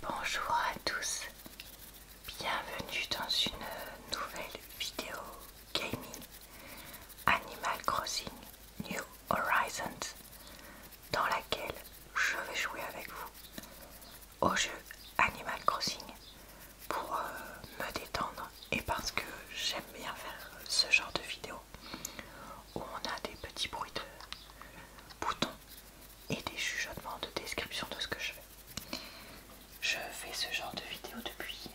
Bonjour à tous, bienvenue dans une nouvelle vidéo gaming Animal Crossing New Horizons dans laquelle je vais jouer avec vous au jeu Animal Crossing pour euh, me détendre et parce que j'aime bien faire ce genre de vidéo où on a des petits bruits de boutons et des chuchotements de description de ce que je fais. Je fais ce genre de vidéo depuis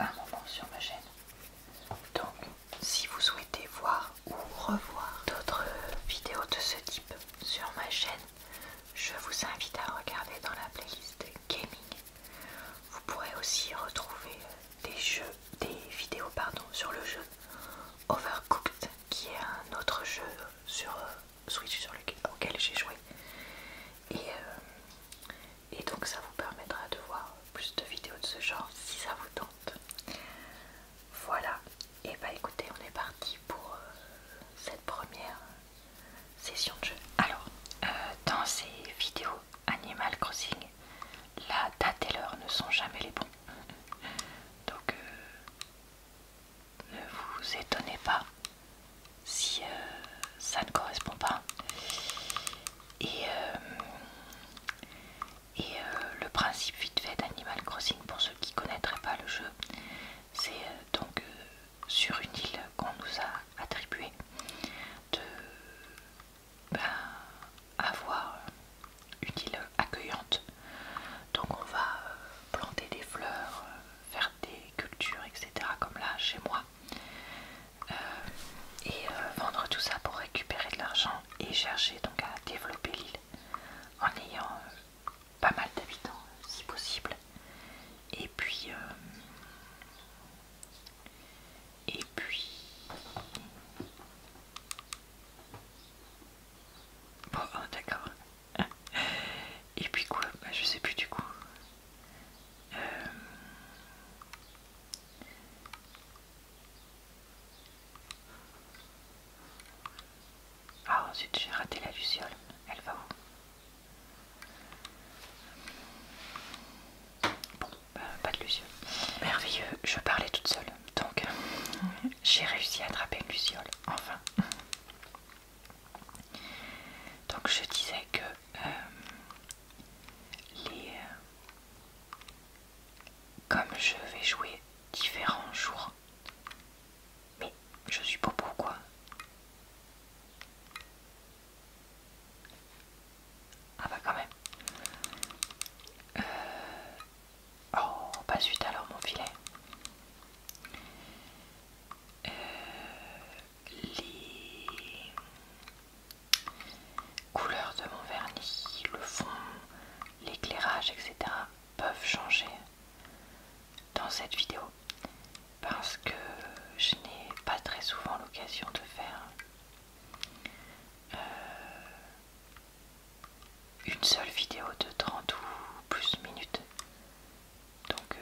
un moment sur ma chaîne. Donc, si vous souhaitez voir ou revoir d'autres vidéos de ce type sur ma chaîne, je vous invite à regarder dans la playlist gaming. Vous pourrez aussi retrouver des jeux, des vidéos pardon, sur le jeu Overcooked, qui est un autre jeu sur euh, Switch sur lequel, j'ai joué. Et, euh, et donc ça vous permettra de voir plus de vidéos de ce genre si ça vous tente. Voilà, et bah écoutez, on est parti pour euh, cette première session de jeu. Alors, dans ces vidéos Animal Crossing, la date et l'heure ne sont jamais les bons. Donc, ne vous étonnez pas si euh, ça ne correspond pas. Et, euh, euh, le principe vite fait d'Animal Crossing, pour ceux qui ne connaîtraient pas le jeu, c'est donc sur une île qu'on nous a attribuée de ben, avoir utile accueillante. Donc on va euh, planter des fleurs, euh, faire des cultures, etc. comme là chez moi. Euh, et vendre tout ça pour récupérer de l'argent et chercher donc à développer l'île en ayant pas mal d'habitants si possible. Et puis... et puis... Bon, ah, d'accord. Et puis quoi bah, Je sais plus du coup. Euh. Ah, ensuite j'ai raté la luciole. Elle va où Bon, bah, pas de luciole. Merveilleux, je parlais toute seule. Donc, j'ai réussi à attraper une luciole, enfin. Donc, je disais que euh, les, euh, comme je vais jouer différents jours, mais je suis pas quoi Ah bah quand même. Euh, Oh, pas suite alors mon filet. Euh, les couleurs de mon vernis, le fond, l'éclairage, etc. peuvent changer dans cette vidéo parce que je n'ai pas très souvent l'occasion de faire euh, une seule vidéo de 30 ou plus minutes. Donc euh,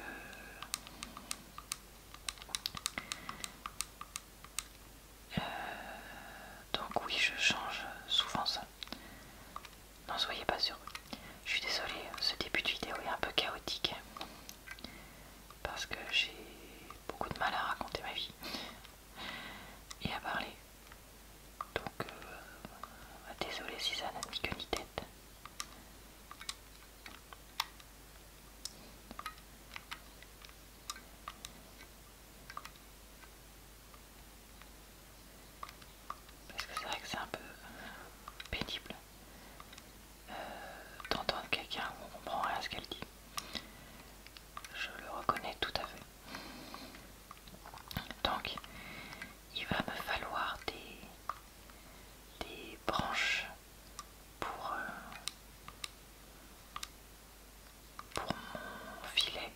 euh, donc oui, je change souvent ça. N'en soyez pas sûr. Je suis désolée, ce début de vidéo est un peu chaotique parce que j'ai beaucoup de mal à raconter ma vie et à parler. Donc, euh, désolé si ça n'a ni que ni tête. Parce que c'est vrai que c'est un peu pénible euh, d'entendre quelqu'un où on comprend rien à ce qu'elle dit. Je le reconnais tout à fait. Donc, il va me falloir des, branches pour, euh, pour mon filet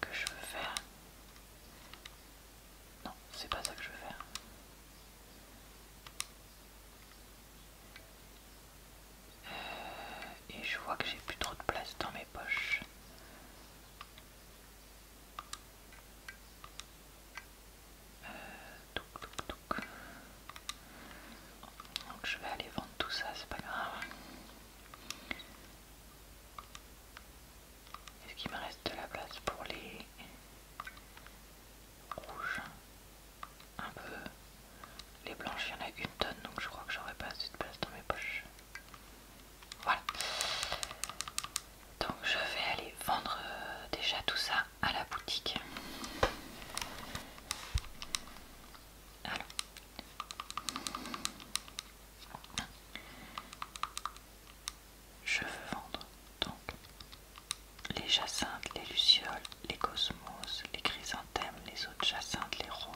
que je veux faire. Non, c'est pas ça que je veux faire. Euh, et je vois que j'ai plus trop de place dans mes poches. Euh, donc je vais aller vendre tout ça, c'est pas grave. Est-ce qu'il me reste de la place pour les rouges Un peu. Les blanches, il y en a une tonne, donc je crois que j'aurai pas assez de place dans mes poches. Voilà. Donc je vais aller vendre euh, déjà tout ça à la boutique. Alors. Je veux vendre donc les jacinthes, les lucioles, les cosmos, les chrysanthèmes, les autres jacinthes, les roses,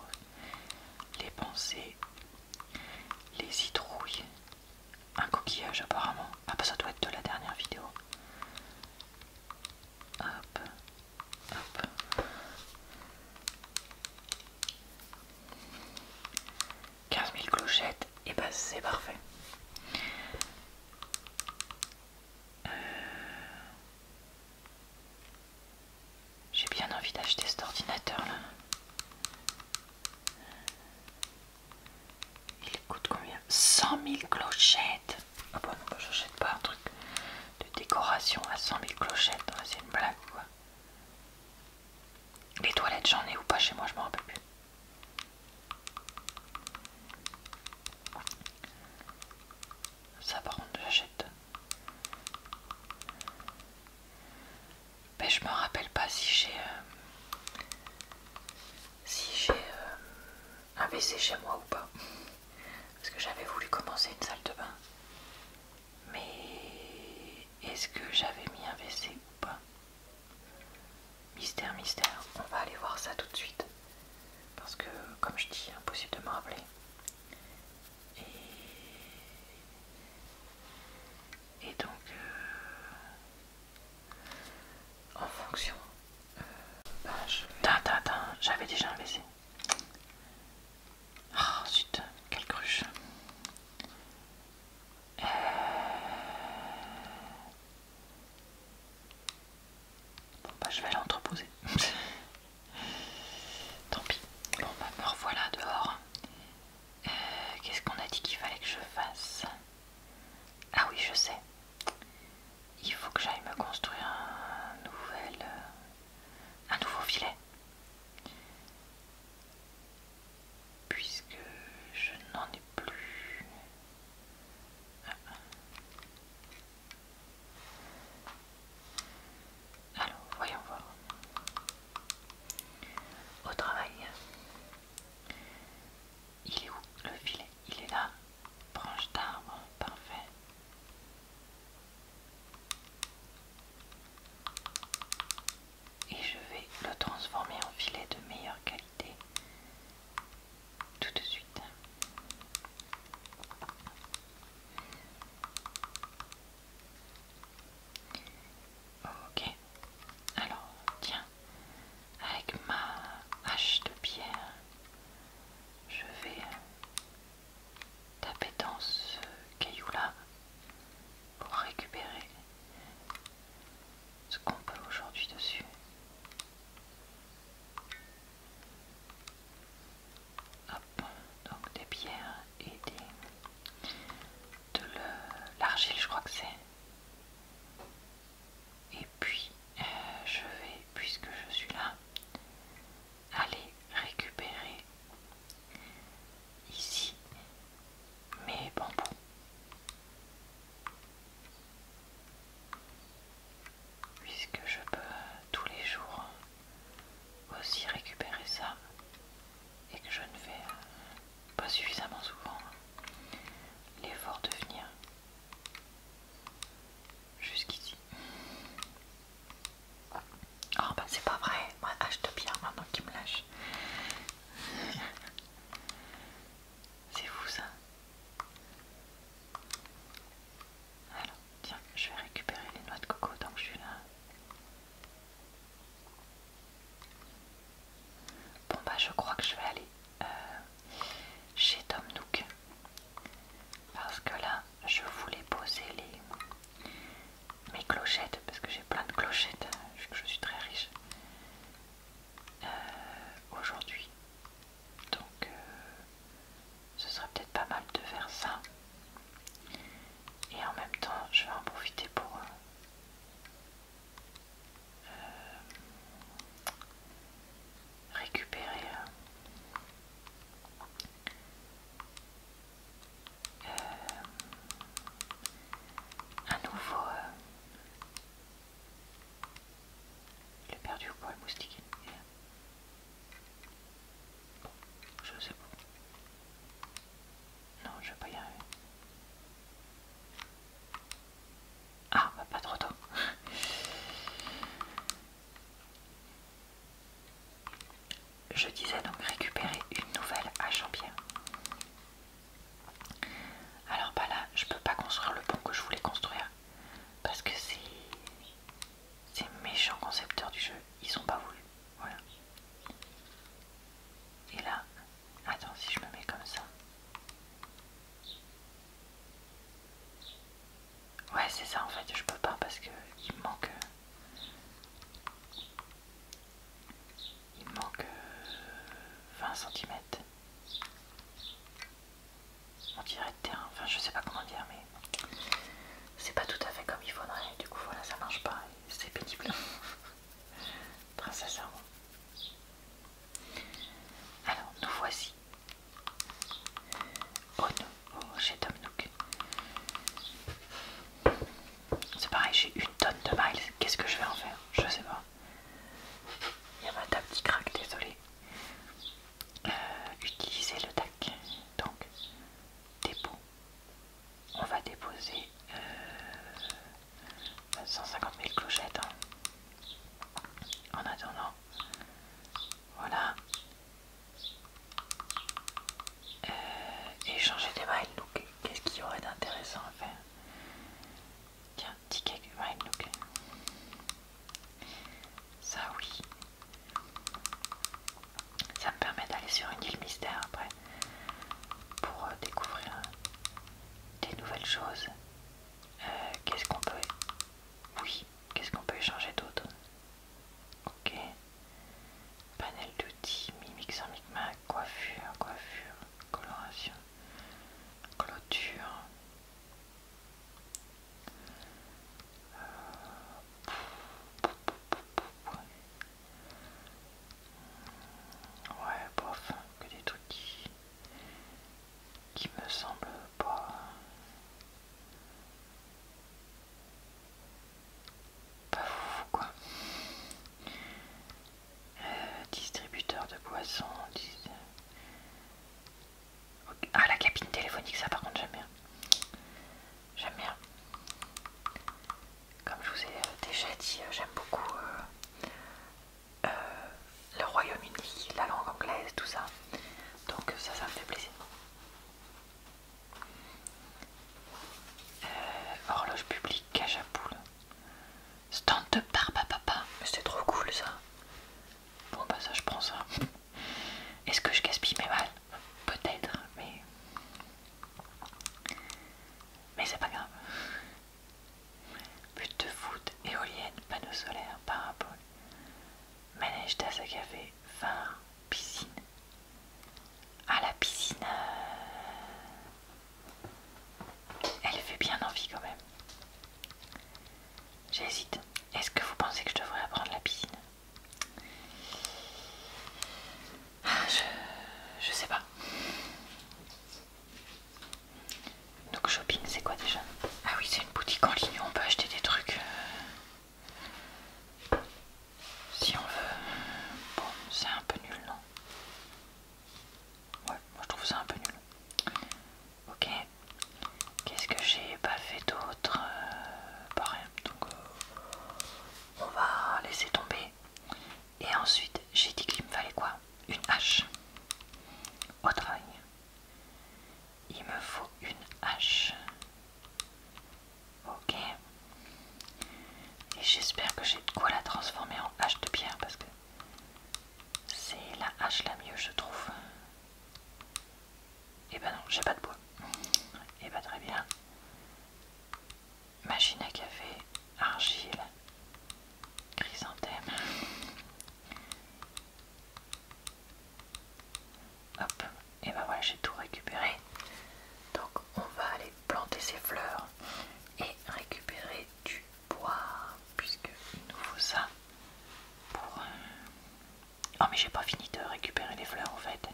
les pensées, les citrouilles, un coquillage apparemment. Ah bah ça doit être de la dernière vidéo. Hop, hop. 15 000 clochettes, et bah c'est parfait. Euh, j'ai bien envie d'acheter cet ordinateur là. Il coûte combien 100 000 clochettes Ah bah non, j'achète pas un truc de décoration à 100 000 clochettes. Hein, c'est une blague quoi. Les toilettes, j'en ai ou pas chez moi, je m'en rappelle plus. Ça par contre j'achète. Mais je me rappelle pas si j'ai euh, si j'ai euh, un WC chez moi ou pas. Parce que j'avais voulu commencer une salle de bain. Mais est-ce que j'avais mis un WC ou pas Mystère, mystère. On va aller voir ça tout de suite. Parce que comme je dis, impossible de me rappeler. Et, donc, euh, en fonction, euh, ben, j'avais déjà un baiser. Ah, quelle cruche. bah, je vais l'entreposer. Tant pis. Bon, bah me revoilà dehors. Euh, qu'est-ce qu'on a dit qu'il fallait que je fasse Ah oui, je sais. Il faut que j'aille me construire un nouvel... Euh, un nouveau filet. Puisque je n'en ai plus. Ah. Alors, voyons voir. Au travail. Il est où le filet Il est là. Branche d'arbre. Parfait. Et je vais le transformer en filet de meilleure qualité tout de suite. Ok, alors tiens, avec ma hache de pierre, je vais euh, taper dans ce caillou là pour récupérer ce qu'on peut aujourd'hui dessus. Hop, donc des pierres et des, de l'argile, je crois que c'est. Et puis, euh, je vais, puisque je suis là, aller récupérer ici mes bambous. Puisque je peux tous les jours aussi récupérer ça et que je ne fais euh, pas suffisamment souvent hein, l'effort de venir jusqu'ici. Oh bah c'est pas vrai, moi te bien maintenant qu'il me lâche. c'est fou ça. Alors, tiens, je vais récupérer les noix de coco Donc je suis là. Bon bah je crois que je vais aller euh, chez Tom Nook. Parce que là, je voulais poser les, mes clochettes, parce que j'ai plein de clochettes, hein, que je suis très riche. Euh, aujourd'hui. Donc, euh, ce serait peut-être pas mal de faire ça. Et en même temps, je vais en profiter pour... Euh, euh, récupérer euh, un nouveau... Le perdu pour le moustique je sais pas, Non, je vais pas y arriver. Ah, bah pas trop tôt. Je disais donc récupérer une nouvelle à champi Alors bah là, je peux pas construire le pont que je voulais construire parce que c'est ces méchants concepteurs du jeu, ils ont pas voulu. Voilà. Et là, attends, si je me mets comme ça. Ouais, c'est ça en fait, je peux pas parce que il me manque. Il manque 20 euh, cm. On dirait de terrain, enfin je sais pas comment dire, mais c'est pas tout à fait comme il faudrait, du coup voilà ça marche pas, c'est pénible. Très sincèrement. Alors nous voici chez oh oh, Tom Nook. C'est pareil, j'ai une tonne de miles, qu'est-ce que je vais en faire Je sais pas. Il y a ma table qui craque, désolé. Euh, utiliser le DAC, donc dépôt, on va déposer 150 euh, 000 clochettes. Hein. En attendant, voilà. Et euh, échanger des Wild Look, qu'est-ce qu'il y aurait d'intéressant à faire Tiens, ticket du Look. Ça oui. Ça me permet d'aller sur une île mystère après pour euh, découvrir euh, des nouvelles choses. Euh, qu'est-ce qu'on peut... Oui, qu'est-ce qu'on peut échanger d'autre Ok. Panel d'outils, mix en micmac, coiffure, coiffure, coloration, clôture. Ouais, bof, que des trucs qui, qui me semblent pas. Pas fou quoi. Euh, distributeur de boissons. Ah, la cabine téléphonique, ça par contre j'aime bien j'aime bien. Comme je vous ai euh, déjà dit, euh, j'aime beaucoup euh, le Royaume-Uni, la langue anglaise, tout ça. Donc ça, ça me fait plaisir. horloge publique, cage Stand de barbe papa. Mais c'est trop cool ça. Bon bah ça je prends ça. Est-ce que je gaspille mes balles Peut-être, mais. Mais c'est pas grave. But de foot, éolienne, panneau solaire, parapole, manège, tasse à café, vin, piscine. Ah, la piscine. Euh, elle fait bien envie quand même. J'hésite. Est-ce que vous pensez que je devrais apprendre la piscine je, sais pas. Donc shopping c'est quoi déjà Ah oui c'est une boutique en ligne on peut acheter des trucs euh, si on veut. Bon c'est un peu nul non Ouais moi je trouve ça un peu nul. Ok. Qu'est-ce que j'ai pas fait d'autre euh, rien Donc euh, on va laisser tomber. Et ensuite j'ai dit qu'il me fallait quoi Une hache. Au travail. Il me faut une hache. Ok. Et j'espère que j'ai de quoi la transformer en hache de pierre parce que c'est la hache la mieux je trouve. Et eh ben non, j'ai pas de bois. Et eh ben très bien. Machine à café, argile, chrysanthème. Hop, et ben voilà, j'ai tout récupéré. Donc on va aller planter ces fleurs et récupérer du bois, puisqu'il nous faut ça pour, euh, Oh mais j'ai pas fini de récupérer les fleurs en fait.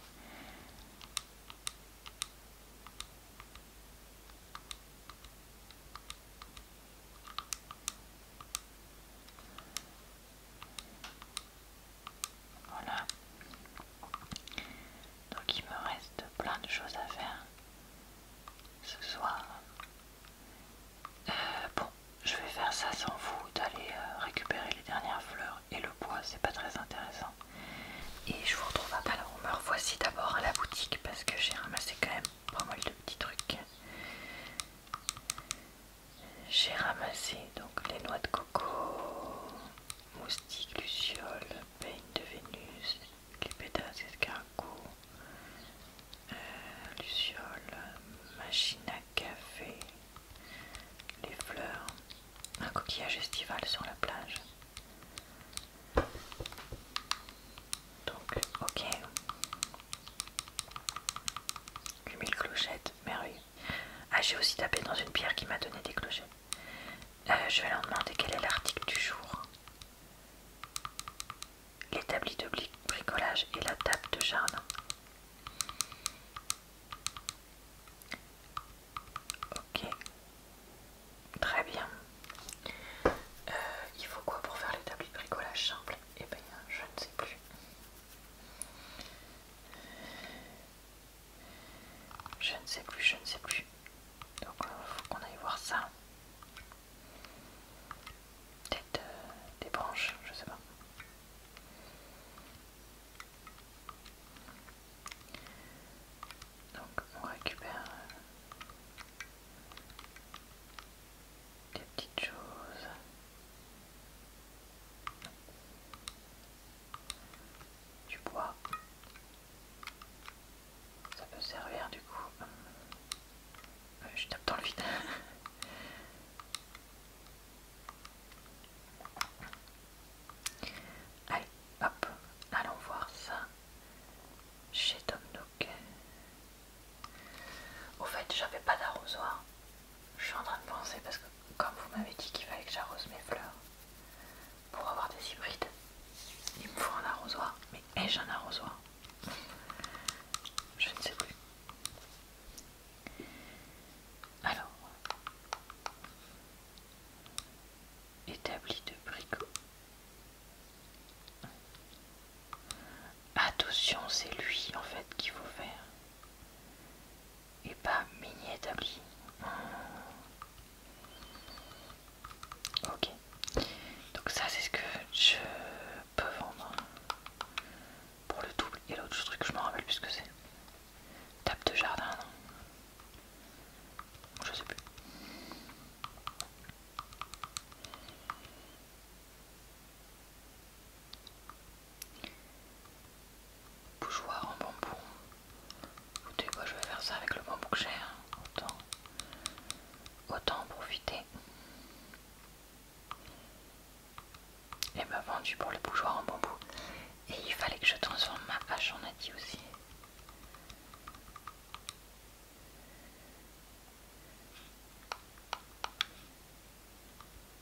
Voilà. Donc il me reste plein de choses à faire ce soir. Euh, bon, je vais faire ça sans vous d'aller euh, récupérer les dernières fleurs et le bois, c'est pas très intéressant. Et je vous retrouve après la me Voici d'abord à la boutique parce que j'ai ramassé quand même pas mal de petits trucs. J'ai ramassé donc les noix de coco, moustiques, lucioles, peigne de Vénus, les de escargots, euh, lucioles, machine à café, les fleurs, un coquillage estival sur la plage. Donc, ok. 8000 clochettes, merveilleux. Ah, j'ai aussi tapé dans une pierre qui m'a donné des clochettes. Euh, je vais leur demander quel est l'article du jour. L'établi de bricolage et la table de jardin. Ok. Très bien. Euh, il faut quoi pour faire l'établi de bricolage simple Eh bien, je ne sais plus. Je ne sais plus, je ne sais plus. Donc, il euh, faut qu'on aille voir ça. Peut-être euh, des branches, je sais pas. Donc on récupère euh, des petites choses. Du bois. Ça peut servir du coup. Hum. je tape dans le vide. Allez, hop, allons voir ça chez Tom Nook. Au fait, j'avais pas d'arrosoir. Je suis en train de penser parce que, comme vous m'avez dit qu'il fallait que j'arrose mes fleurs pour avoir des hybrides, il me faut un arrosoir. Mais ai-je un arrosoir Je ne sais plus. Alors, établi de bricot. Attention, c'est lui en fait qu'il faut faire. Et pas mini établi. Ok. Donc ça c'est ce que je peux vendre. Pour le double et l'autre truc, je me rappelle plus ce que c'est. Tape de jardin, non Je sais plus. Bougeoir en bambou. Écoutez, moi je vais faire ça avec le bambou que j'ai. Hein. Autant, autant en profiter et m'a vendu pour le bougeoir en bambou. Et il fallait que je transforme ma hache en dit aussi.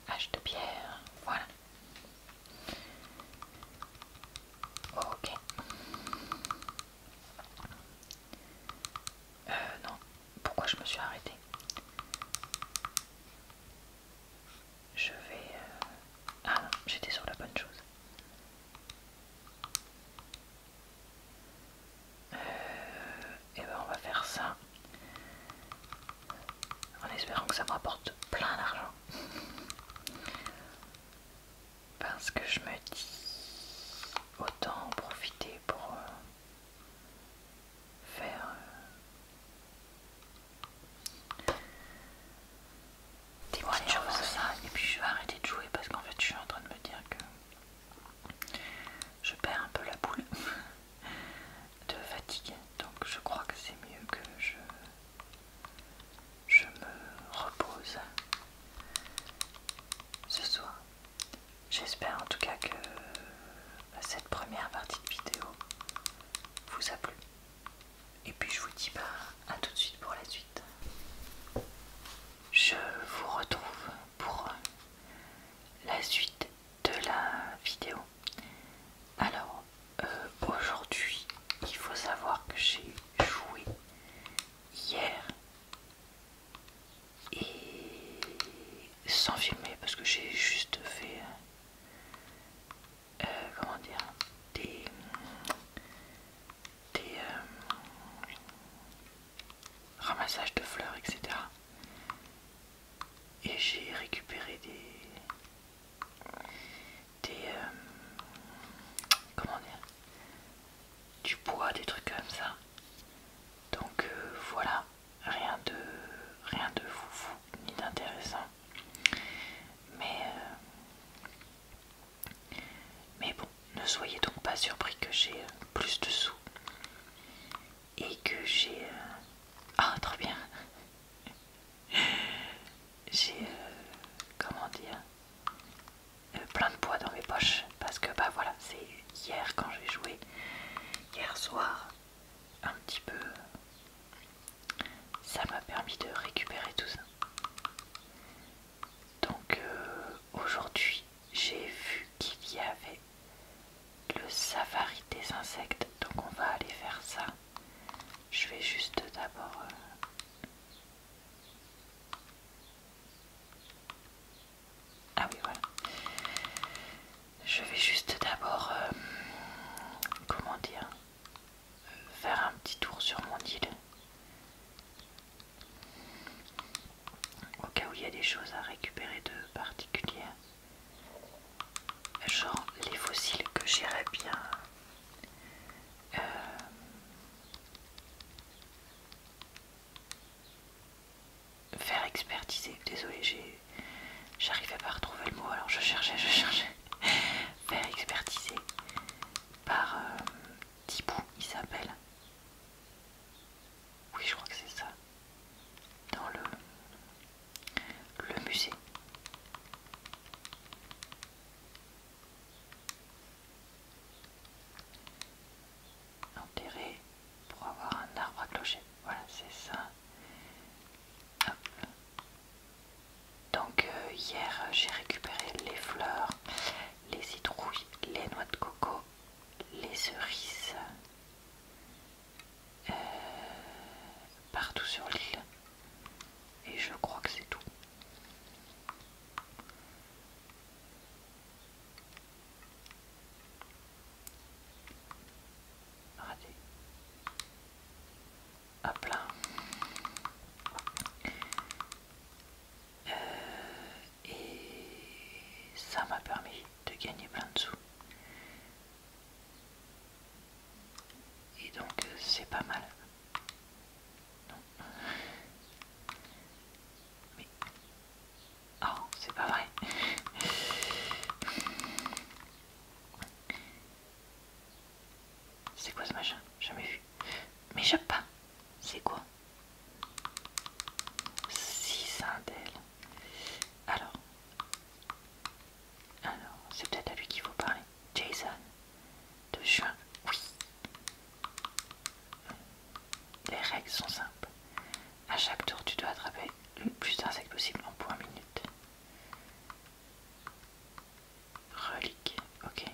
Hache de pierre, voilà. Ok. Euh, non, pourquoi je me suis arrêtée je vais... Euh, ah non, j'étais sur la bonne chose. et euh, eh ben on va faire ça en espérant que ça me rapporte plein d'argent. Parce que je me dis autant en profiter pour euh, faire Dis-moi ça et puis je vais arrêter de jouer parce qu'en fait je suis en train de me dire que je perds un peu la boule de fatigue donc je crois que c'est mieux que je je me repose ce soir. J'espère en tout cas que cette première partie de vidéo vous a plu. Et puis je vous dis bah, à tout de suite pour la suite. Je vous retrouve pour la suite de la vidéo. Alors euh, aujourd'hui il faut savoir que j'ai joué hier et sans filmer parce que j'ai juste fait euh, comment dire, des, des euh, ramassages de fleurs, etc. Et j'ai récupéré des, des, euh, comment dire, du bois, des trucs comme ça. Donc voilà, rien de, rien de foufou ni d'intéressant, mais, euh, mais bon, ne soyez donc pas surpris que j'ai euh, plus de sous et que j'ai... Euh, ah, trop bien J'ai... comment dire Plein de poids dans mes poches parce que bah voilà, c'est hier quand j'ai joué, hier soir un petit peu ça m'a permis de récupérer tout ça donc euh, aujourd'hui j'ai vu qu'il y avait le safari des insectes donc on va aller faire ça je vais juste d'abord euh, ah oui voilà je vais juste d'abord, euh, comment dire, faire un petit tour sur mon île. Au cas où il y a des choses à récupérer de particulières. Genre les fossiles que j'irais bien euh, faire expertiser. désolé j'ai J'arrivais pas à retrouver le mot, alors je cherchais, je cherchais. Faire expertiser par euh, il s'appelle. Oui, je crois que c'est ça. Dans le, le musée. Enterré pour avoir un arbre à clocher. Voilà, c'est ça. Donc euh, hier j'ai récupéré les fleurs, les citrouilles, les noix de coco, les cerises euh, partout sur l'île. Et je crois que c'est tout. À À euh, et ça m'a permis de gagner plein de sous. Et donc euh, c'est pas mal. Non. Oh, c'est pas vrai. C'est quoi ce machin Jamais vu. Mais peux pas. C'est quoi un indelles. Alors. Alors, c'est peut-être à lui qu'il faut parler. Jason. De juin. Oui. Les règles sont simples. À chaque tour, tu dois attraper le plus d'insectes possible en point minute. Relique, ok.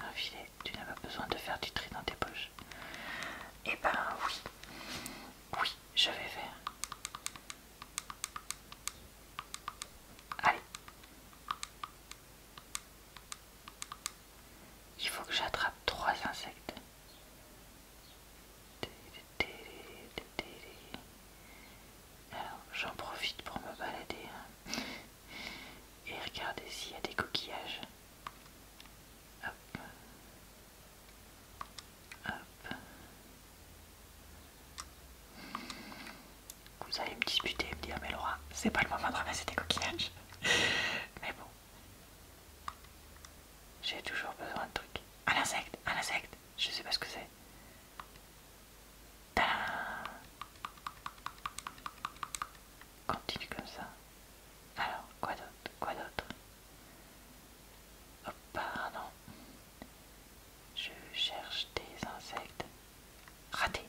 Un filet, tu n'as pas besoin de faire du tri dans tes poches. Eh ben oui, oui, je vais faire. Allez. Il faut que j'attrape trois insectes. Alors, j'en profite pour me balader hein. et regarder s'il y a des coquillages. Hop. Vous allez me disputer et me dire, mais Laura, c'est pas le moment de ramasser des coquillages. mais bon, j'ai toujours besoin de trucs. Un insecte, un insecte, je sais pas ce que c'est. Continue comme ça. Alors, quoi d'autre Quoi d'autre oh, pardon. Je cherche des insectes. Raté.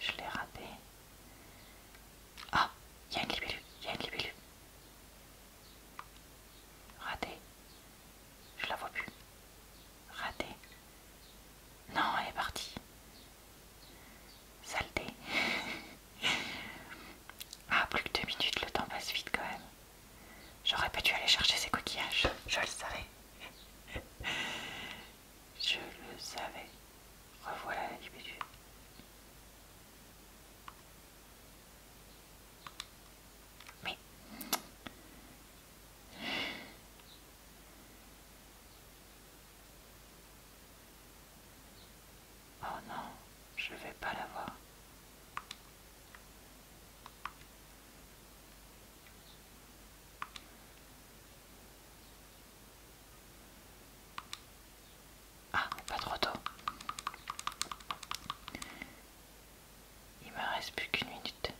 Je l'ai raté. Ah, il y a un libellule, il y a une libellule. Raté. Je la vois plus. Raté. Non, elle est partie. Saleté. ah, plus que deux minutes, le temps passe vite quand même. J'aurais pas dû aller chercher ses coquillages. Je le savais. Je le savais. Revoilà l'individu. Oh non, je vais pas la voir. Ah, pas trop tôt. Il me reste plus qu'une minute.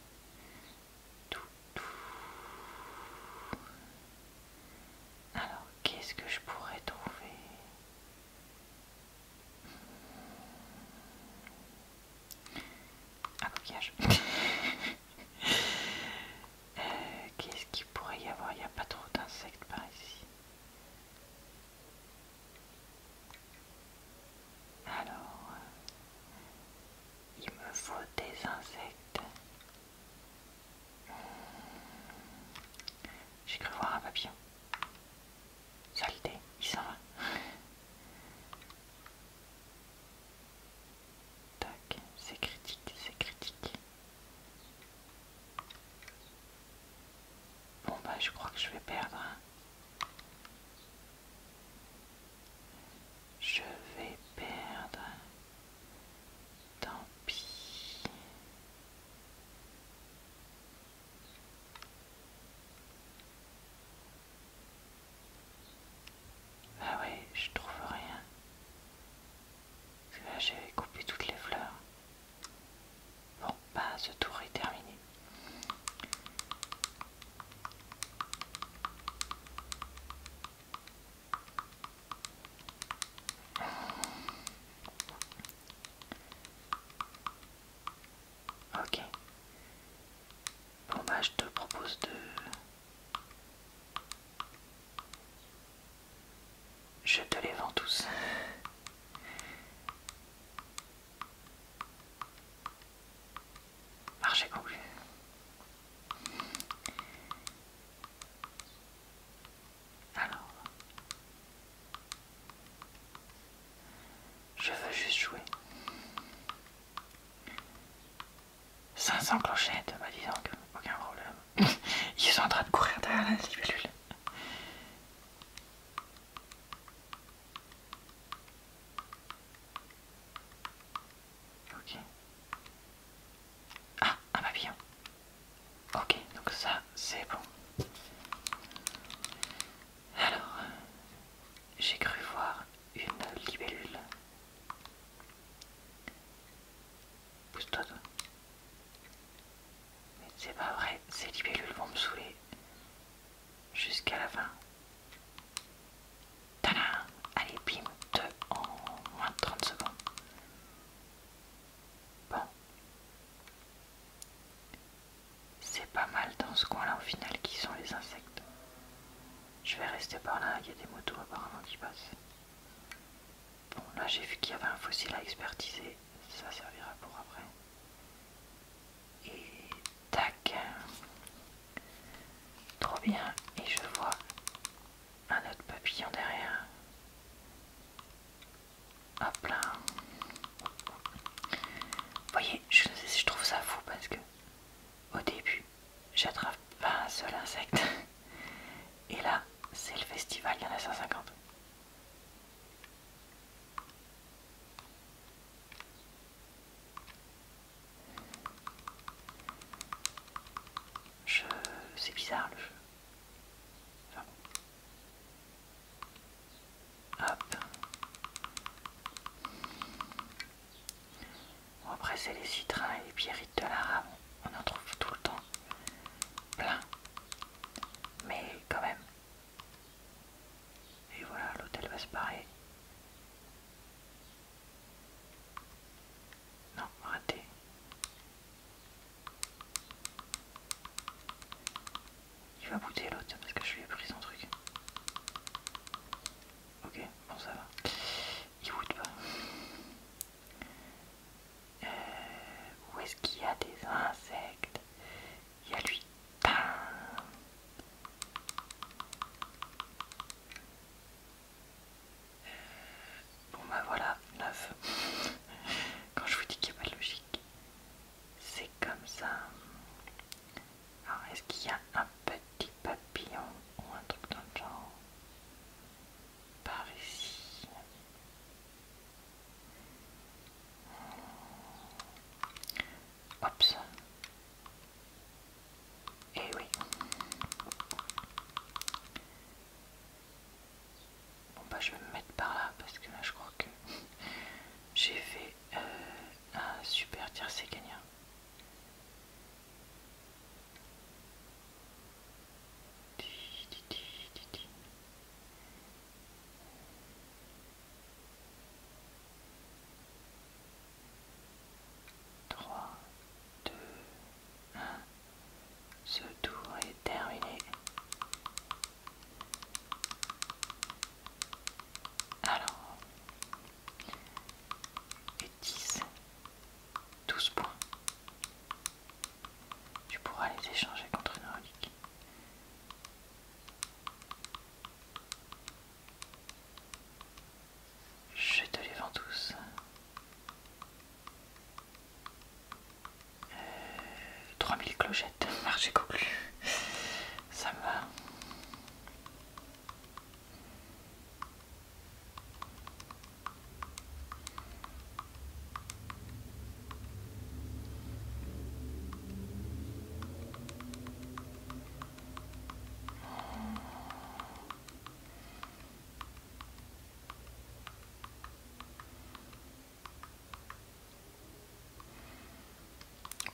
Alors, qu'est-ce que je pourrais trouver Un coquillage. Euh, qu'est-ce qu'il pourrait y avoir Il n'y a pas trop d'insectes par ici. Alors, il me faut des insectes. Hmm. J'ai cru voir un papillon. Saleté, il s'en va. Tac, c'est critique, c'est critique. Bon bah je crois que je vais perdre. Hein. Je vais perdre. Tant pis. Ah ouais, je trouve rien. Parce que là, j'ai coupé toutes les fleurs. Bon, bah ce tour est terminé. Ok. Bon bah je te propose de... Je te les vends tous. Marché conclu. Alors. Je veux juste jouer. 500 clochettes, bah dis que aucun problème. Ils sont en train de courir derrière la cellule. Ok. Ah, un papillon. Ok, donc ça c'est bon. Alors, j'ai cru voir une libellule. Pousse-toi, toi. Mais c'est pas vrai, ces libellules vont me saouler jusqu'à la fin. Tadam Allez, bim, 2 en moins de 30 secondes. Bon. C'est pas mal dans ce coin-là au final qui sont les insectes. Je vais rester par là, il y a des motos apparemment qui passent. Bon, là j'ai vu qu'il y avait un fossile à expertiser ça servira pour après. Et tac. Trop bien. Et je vois un autre papillon derrière. Hop là. Vous voyez, je, je trouve ça fou parce que au début, j'attrape pas un seul insecte. Et là, c'est le festival, il y en a 150. Je... C'est bizarre le jeu. Hop. Bon, après c'est les citrins et les pierrites de l'arabe. On en trouve tout le temps. Plein. Mais quand même, et voilà, l'hôtel va se barrer. Non, raté. Il va bouter l'autre parce que je lui ai pris son truc. Ok, bon ça va. Il de pas. Euh, où est-ce qu'il y a des insectes il y a lui euh, Bon bah voilà, neuf. Quand je vous dis qu'il n'y a pas de logique, c'est comme ça. Alors est-ce qu'il y a un petit papillon ou un truc dans le genre Par ici. Ops. Eh oui. Bon bah je vais me mettre par là parce que là je crois que j'ai fait euh, un super tir c'est gagnant. 3, 2, 1. Ce tour est terminé. Alors, et 10, 12 points. Tu pourras les échanger contre une relique. Je te les vends tous. 3000 euh, clochettes, marché conclu. Ça va.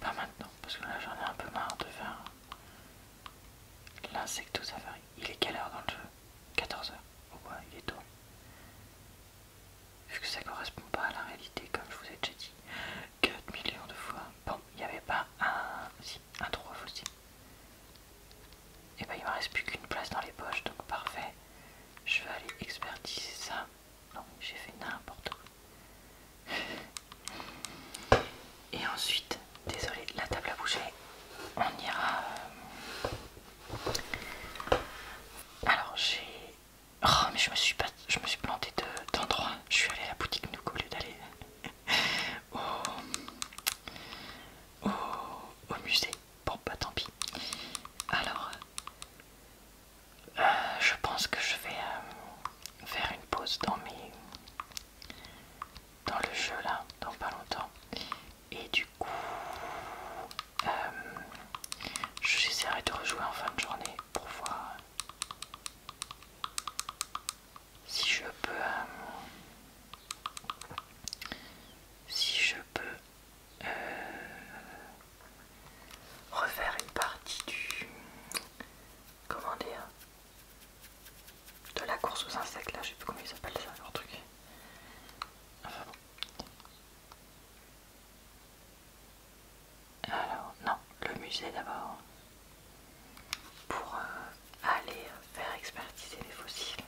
Pas maintenant, parce que là j'en ai un peu marre de faire l'insecto safari. Il est quelle heure dans le jeu 14h. Au bois, il est tôt vu que ça correspond pas à la réalité comme je vous ai déjà dit 4 millions de fois. Bon, il n'y avait pas un, si, un 3 aussi. Et eh ben il me reste plus qu'une place dans les poches, donc parfait. Je vais aller expertiser ça. Non, j'ai fait n'importe quoi. Et ensuite, désolé, la table a bougé. On ira. Euh, Alors j'ai Oh, mais je me suis pas, je me suis planté d'endroit. je suis allé à la boutique Nook au lieu d'aller au, musée. Bon, bah tant pis. Alors, euh, je pense que je vais euh, faire une pause dans mes, dans le jeu là, dans pas longtemps. Et du euh, j'essaierai de rejouer en fin de journée pour voir si je peux, euh, si je peux euh, refaire une partie du, comment dire, de la course aux insectes là, je sais plus comment ils appellent ça leur truc. Alors, non, le musée d'abord. Pour euh, aller faire expertiser les fossiles.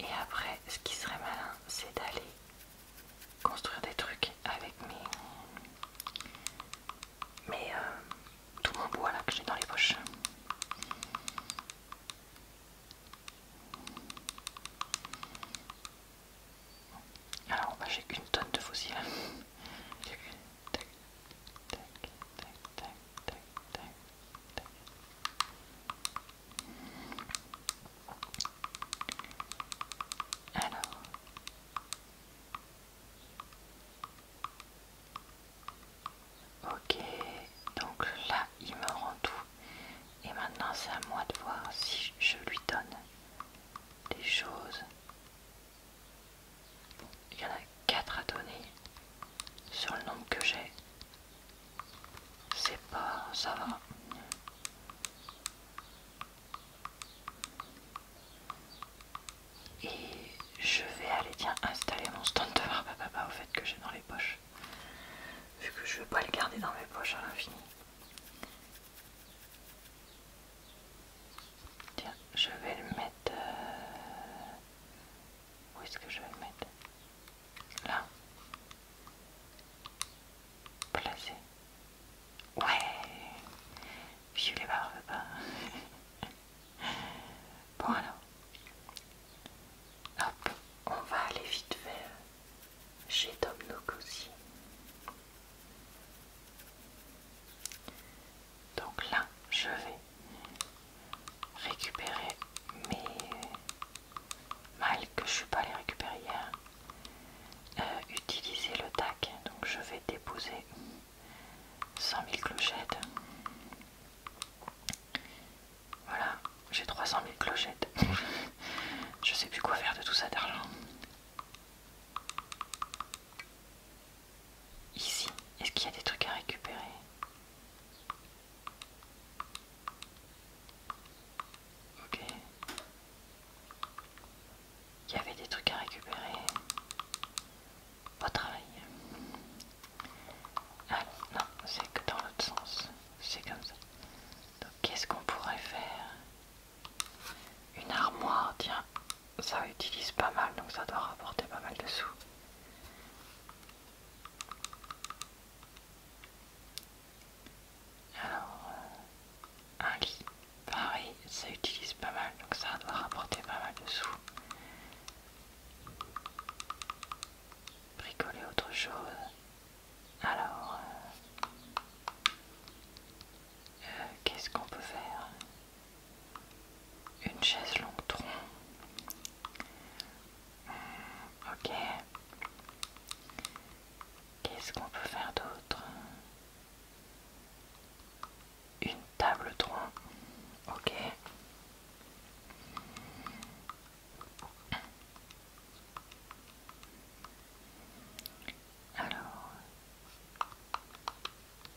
Et après, ce qui serait malin, c'est d'aller construire des trucs avec mes. mes euh, tout mon bois là que j'ai dans les poches. Alors bah, j'ai qu'une tonne de fossiles. Alors. Ok, donc là il me rend tout. Et maintenant, c'est à moi de voir si je lui donne des choses. Il y en a 4 à donner sur le nombre que j'ai. C'est pas... ça va. Et je vais aller, bien installer mon stand de papa ah, bah, bah, bah, au fait que j'ai dans les poches. Vu que je veux pas le garder dans mes poches à l'infini. Tiens, je vais le mettre... Euh, où est-ce que je vais le mettre Là. Placé. Ouais Vieux les pas. Hein. bon alors. Hop, on va aller vite faire chez Tom Nook aussi. Donc là, je vais récupérer mes mal que je suis pas allée récupérer hier. Euh, utiliser le tac, donc je vais déposer 100 000 clochettes voilà, j'ai 300 000 clochettes. Je sais plus quoi faire de tout ça d'argent. Ici, est-ce qu'il y a des trucs à récupérer Ok. Il y avait des trucs à récupérer. Pas travail. Ah non, c'est que dans l'autre sens. C'est comme ça qu'est-ce qu'on pourrait faire Une armoire, tiens, ça utilise pas mal, donc ça doit rapporter pas mal de sous. Alors, euh, un lit, pareil, ça utilise pas mal, donc ça doit rapporter pas mal de sous. Bricoler autre chose. Alors, euh, euh, qu'est-ce qu'on peut faire Une chaise longue tronc. Hmm, ok. Qu'est-ce qu'on peut faire d'autre Une table tronc. Ok. Alors,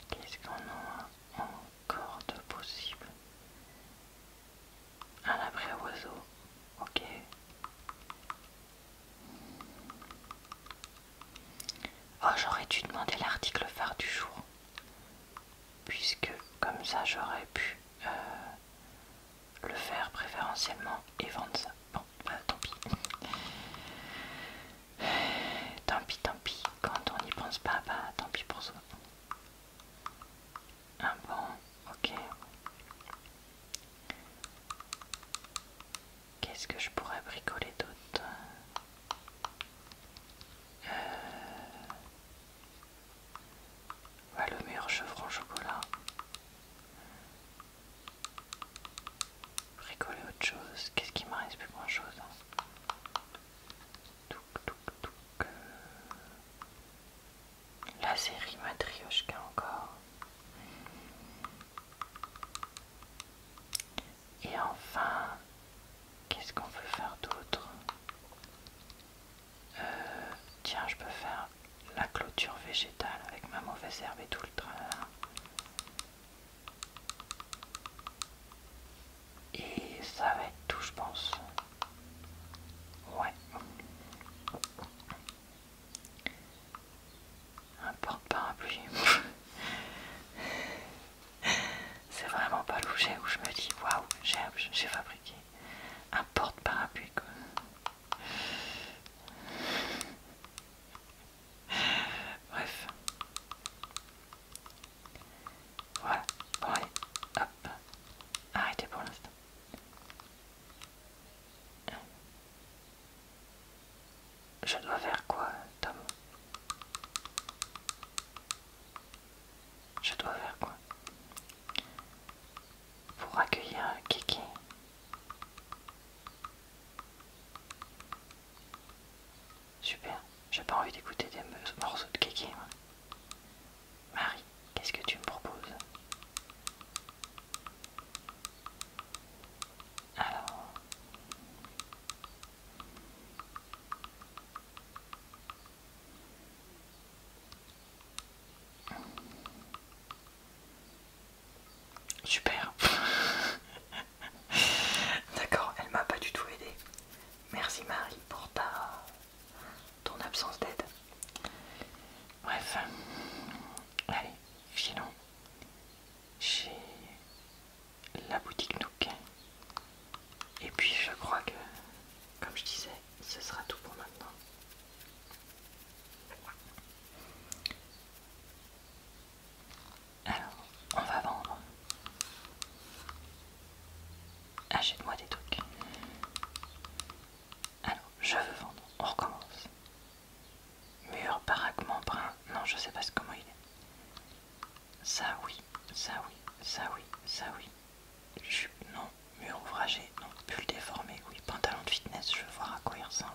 qu'est-ce qu'on a encore de possible Un ah, abri oiseau ok. Oh, j'aurais dû demander l'article phare du jour, puisque comme ça j'aurais pu euh, le faire préférentiellement et vendre ça. Bon, bah, tant pis. Tant pis, tant pis. Quand on n'y pense pas, bah tant pis pour soi. Ah bon, ok. Qu'est-ce que je pourrais bricoler d'autre euh, le meilleur chevron chocolat. Rigoler autre chose. Qu'est-ce qui m'arrive reste plus grand chose hein. La série Matrioshka encore. Et enfin, qu'est-ce qu'on peut faire d'autre euh, tiens je peux faire la clôture végétale avec ma mauvaise herbe et tout le tralala et ça va être tout je pense ouais un porte-parapluie c'est vraiment pas l'objet où je me dis waouh j'ai fabriqué un porte-parapluie Bref. Voilà, ouais, hop. Arrêtez pour l'instant. Je dois faire quoi, Tom Je dois faire quoi pour accueillir Kiki. Super, j'ai pas envie d'écouter des morceaux de Kiki. Marie, qu'est-ce que tu me proposes Alors... Super. D'accord, elle m'a pas du tout aidé. Merci Marie pour ta ton absence d'aide. Bref. Allez, finons Chez la boutique Nook. Et puis je crois que, comme je disais, ce sera tout pour maintenant. Alors, on va vendre. Achète-moi des trucs. Alors, je veux vendre. On recommence. Mur, baraquement, brun. Non, je sais pas comment il est. Ça oui, ça oui, ça oui, ça oui, non. Mur ouvragé, non. bulle déformé, oui. Pantalon de fitness, je vois à quoi il ressemble.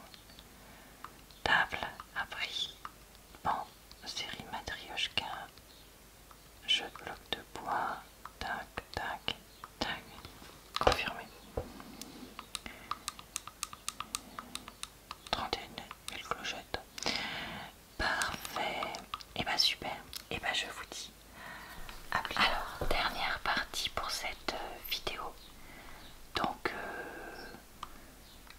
Table, abri. Bon, série Matrioshka. Jeu de bloc de bois. Tac, tac, tac. Confirmé. 31 000 clochettes. Parfait. Et eh ben, super. Et eh ben, je vous dis alors, dernière partie pour cette euh, vidéo. Donc, euh,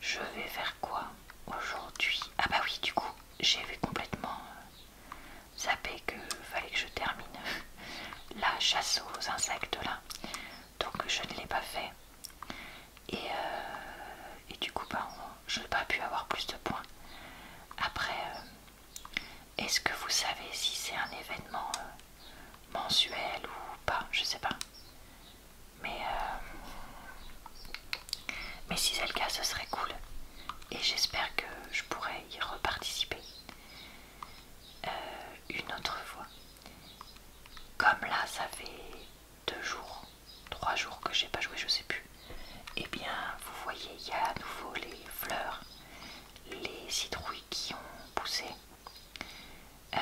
je vais faire quoi aujourd'hui Ah, bah oui, du coup, j'avais complètement euh, zappé que fallait que je termine la chasse aux insectes là. Donc, je ne l'ai pas fait. Et, et du coup, bah, je n'ai pas pu avoir plus de points. Après, est-ce que vous savez si c'est un événement euh, mensuel ou pas Je sais pas. Euh, mais, si c'est le cas, ce serait cool. Et j'espère que je pourrai y reparticiper euh, une autre fois. Comme là, ça fait deux jours, trois jours que j'ai pas joué, je sais plus. Et eh bien, vous voyez, il y a à nouveau les fleurs les citrouilles qui ont poussé. Euh,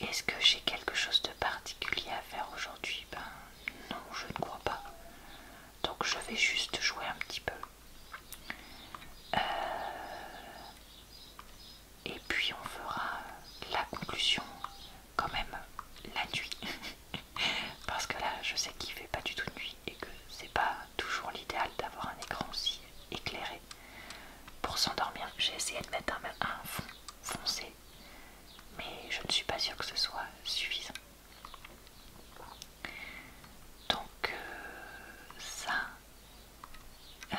est-ce que j'ai quelque chose de particulier à faire aujourd'hui Ben non, je ne crois pas. Donc je vais juste jouer un petit peu. Euh, et puis on fera la conclusion quand même la nuit. Parce que là, je sais qu'il fait pas du tout nuit et que c'est pas toujours l'idéal d'avoir un écran aussi éclairé Pour s'endormir, j'ai essayé de mettre un, fond foncé, mais je ne suis pas sûre que ce soit suffisant. Donc euh, ça, euh,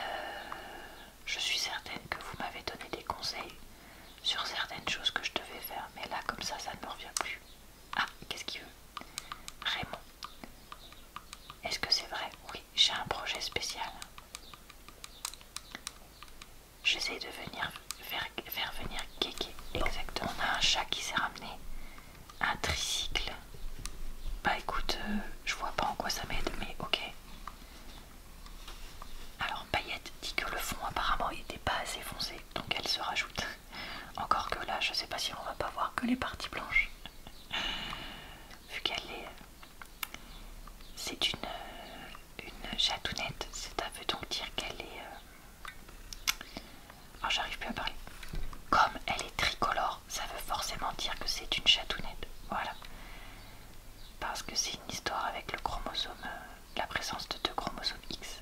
je suis certaine que vous m'avez donné des conseils sur certaines choses que je devais faire, mais là comme ça, ça ne me revient plus. Ah, qu'est-ce qu'il veut Raymond. Est-ce que c'est vrai Oui, j'ai un projet spécial. J'essaie de venir faire, venir Kéké. Exactement. On a un chat qui s'est ramené. Un tricycle. Bah écoute, euh, je vois pas en quoi ça m'aide, mais ok. Alors Paillette dit que le fond apparemment n'était pas assez foncé, donc elle se rajoute. Encore que là, je sais pas si on va pas voir que les parties blanches. Vu qu'elle est. C'est une, une chatounette. Ça veut donc dire qu'elle est. Alors euh, oh, j'arrive plus à parler. Comme elle est tricolore, ça veut forcément dire que c'est une chatounette. Voilà. Parce que c'est une histoire avec le chromosome, euh, la présence de deux chromosomes X.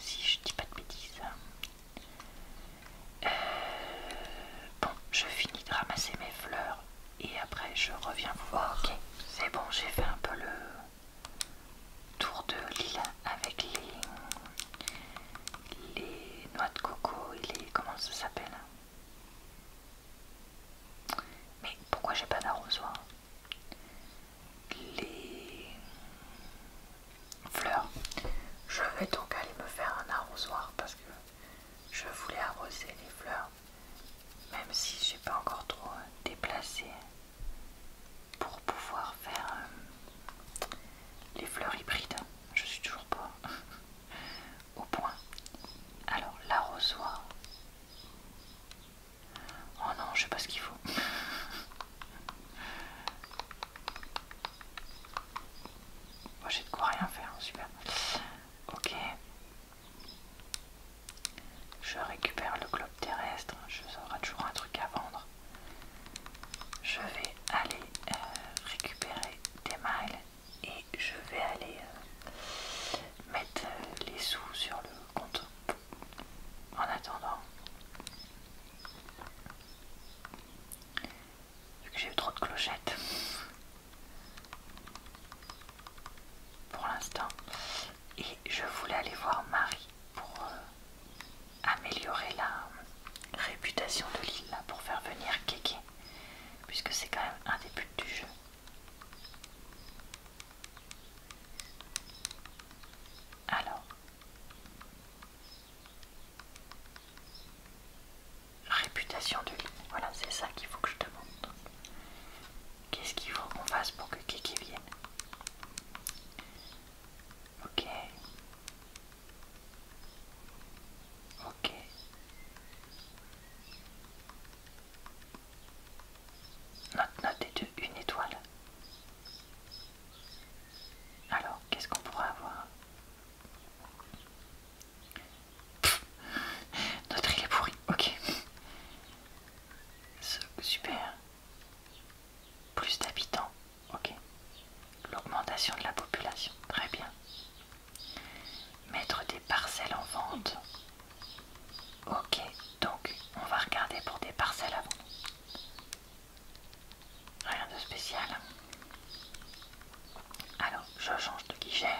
Si je dis pas de bêtises. Euh, bon, je finis de ramasser mes fleurs et après je reviens vous voir. Ok, c'est bon, j'ai fait un peu le tour de l'île avec les, noix de coco et les... comment ça s'appelle mais pourquoi j'ai pas d'arrosoir Les fleurs. Je vais donc aller me faire un arrosoir parce que je voulais arroser les fleurs, même si je suis pas encore trop déplacé pour pouvoir faire euh, les fleurs hybrides. Je suis toujours pas au point. Alors l'arrosoir. Oh non, je sais pas ce qu'il faut. Moi j'ai de quoi rien faire, super. Ok. Je récupère le globe terrestre, je serai toujours un truc à vendre. Je vais aller euh, récupérer des miles et je vais aller euh, mettre euh, les sous sur le compte. En attendant, Vu que j'ai eu trop de clochettes pour l'instant. Et je voulais aller voir Marie pour euh, améliorer la réputation de l'île, pour faire venir Kéké, puisque c'est quand même un des buts du jeu. Alors, Réputation de voilà, c'est ça qu'il faut que je te montre. Qu'est-ce qu'il faut qu'on fasse pour que Kiki vienne Ok. Ok. Notre note est de une étoile. Alors, qu'est-ce qu'on pourra avoir Notre île est pourrie, ok. Super. Plus d'habitants, ok. L'augmentation de la population, très bien. Mettre des parcelles en vente. Ok, donc on va regarder pour des parcelles avant vendre. Rien de spécial. Alors, je change de guichet.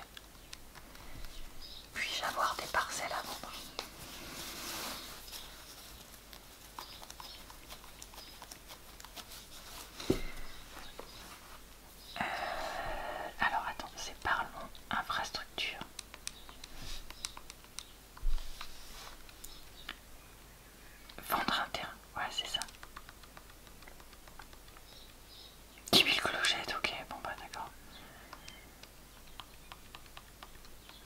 Puis-je avoir des parcelles à vendre euh, Alors, attends, c'est parlons infrastructure. Vendre un terrain, ouais, c'est ça. 10 000 clochettes, ok, bon bah d'accord.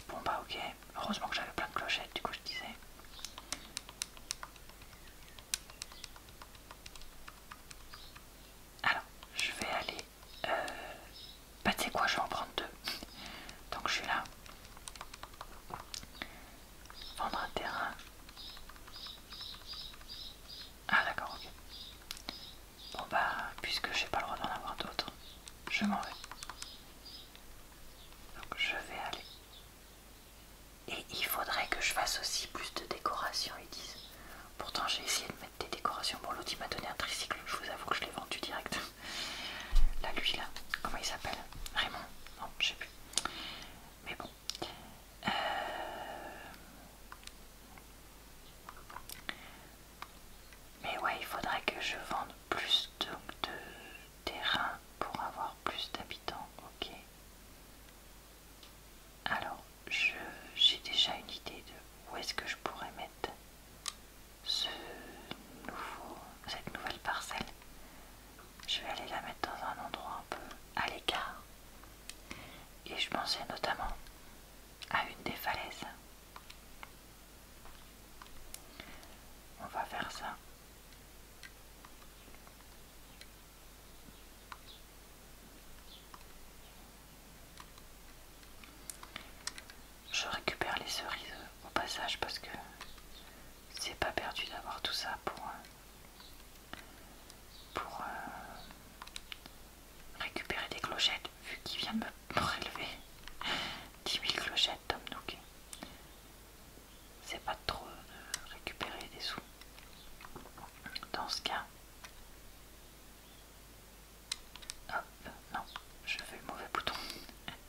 Bon bah ok, heureusement que j'avais plein de clochettes, du coup je disais. Alors, je vais aller... Euh... Bah tu sais quoi, je vais en prendre deux. Donc je suis là. Vendre un terrain. Ah d'accord, ok. Bon bah, puisque j'ai pas le droit d'en avoir d'autres, je m'en vais. Donc je vais aller. Et il faudrait que je fasse aussi plus de décorations, ils disent. Pourtant j'ai essayé de mettre des décorations m'a donné un tricycle, je vous avoue que je l'ai vendu direct. La lui, là, comment il s'appelle Raymond Non, je sais plus. Mais bon. Euh, mais ouais, il faudrait que je vende plus de, de terrain pour avoir plus d'habitants, ok Alors, j'ai déjà une idée de où est-ce que je pourrais mettre ce nouveau, cette nouvelle parcelle. Je vais aller la mettre dans un endroit un peu à l'écart. Et je pensais notamment à une des falaises. On va faire ça. Je récupère les cerises au passage parce que c'est pas perdu d'avoir tout ça pour, euh, pour euh, récupérer des clochettes vu qu'il vient me prélever 10 000 clochettes Tom Nook. C'est pas trop de récupérer des sous. Dans ce cas, hop, non, je fais le mauvais bouton.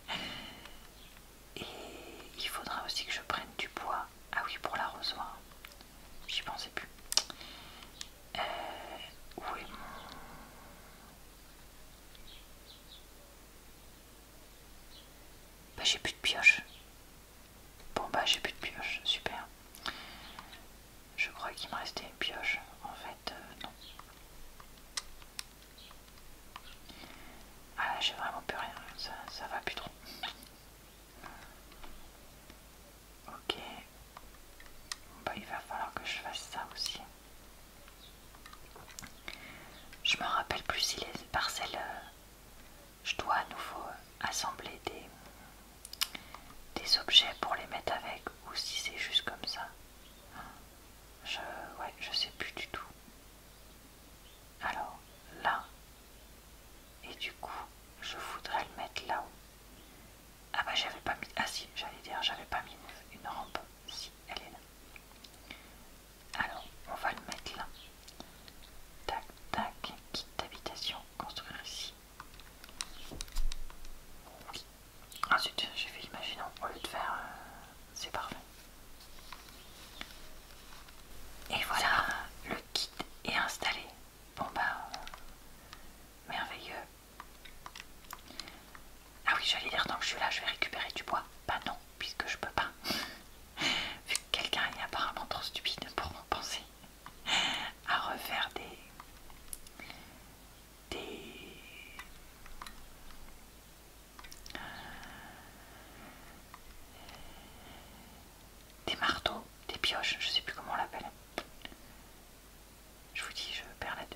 Et il faudra aussi que je prenne du bois. Ah oui, pour l'arrosoir. J'y pensais plus. Euh, bah j'ai plus de pioche. Bon bah j'ai plus de pioche, super. Je crois qu'il me restait une pioche. En fait, euh, non. Ah là j'ai vraiment plus rien, ça, ça va plus trop. Ok. Bah, il va falloir que je fasse ça aussi. Je me rappelle plus si les parcelles... Euh, je dois à nouveau euh, assembler des, des objets pour les mettre avec ou si c'est juste comme ça. Je... Ouais, je sais plus du tout. Alors là, et du coup, je voudrais le mettre là-haut. Ah bah j'avais pas mis, ah si, j'allais dire, j'avais pas mis une rampe, si, elle est là. Alors, on va le mettre là. Tac, tac, kit d'habitation, construire ici. Ensuite, j'ai fait imaginer, au lieu de faire, euh, c'est parfait. Et voilà, le kit est installé. Bon bah, merveilleux. Ah oui, j'allais dire, tant que je suis là, je vais récupérer du bois. Bah non, puisque je peux pas. Vu que quelqu'un est apparemment trop stupide pour m'en penser à refaire des... des... Euh, des marteaux, des pioches, je sais plus comment on l'appelle. Je vous dis, je perds la tête.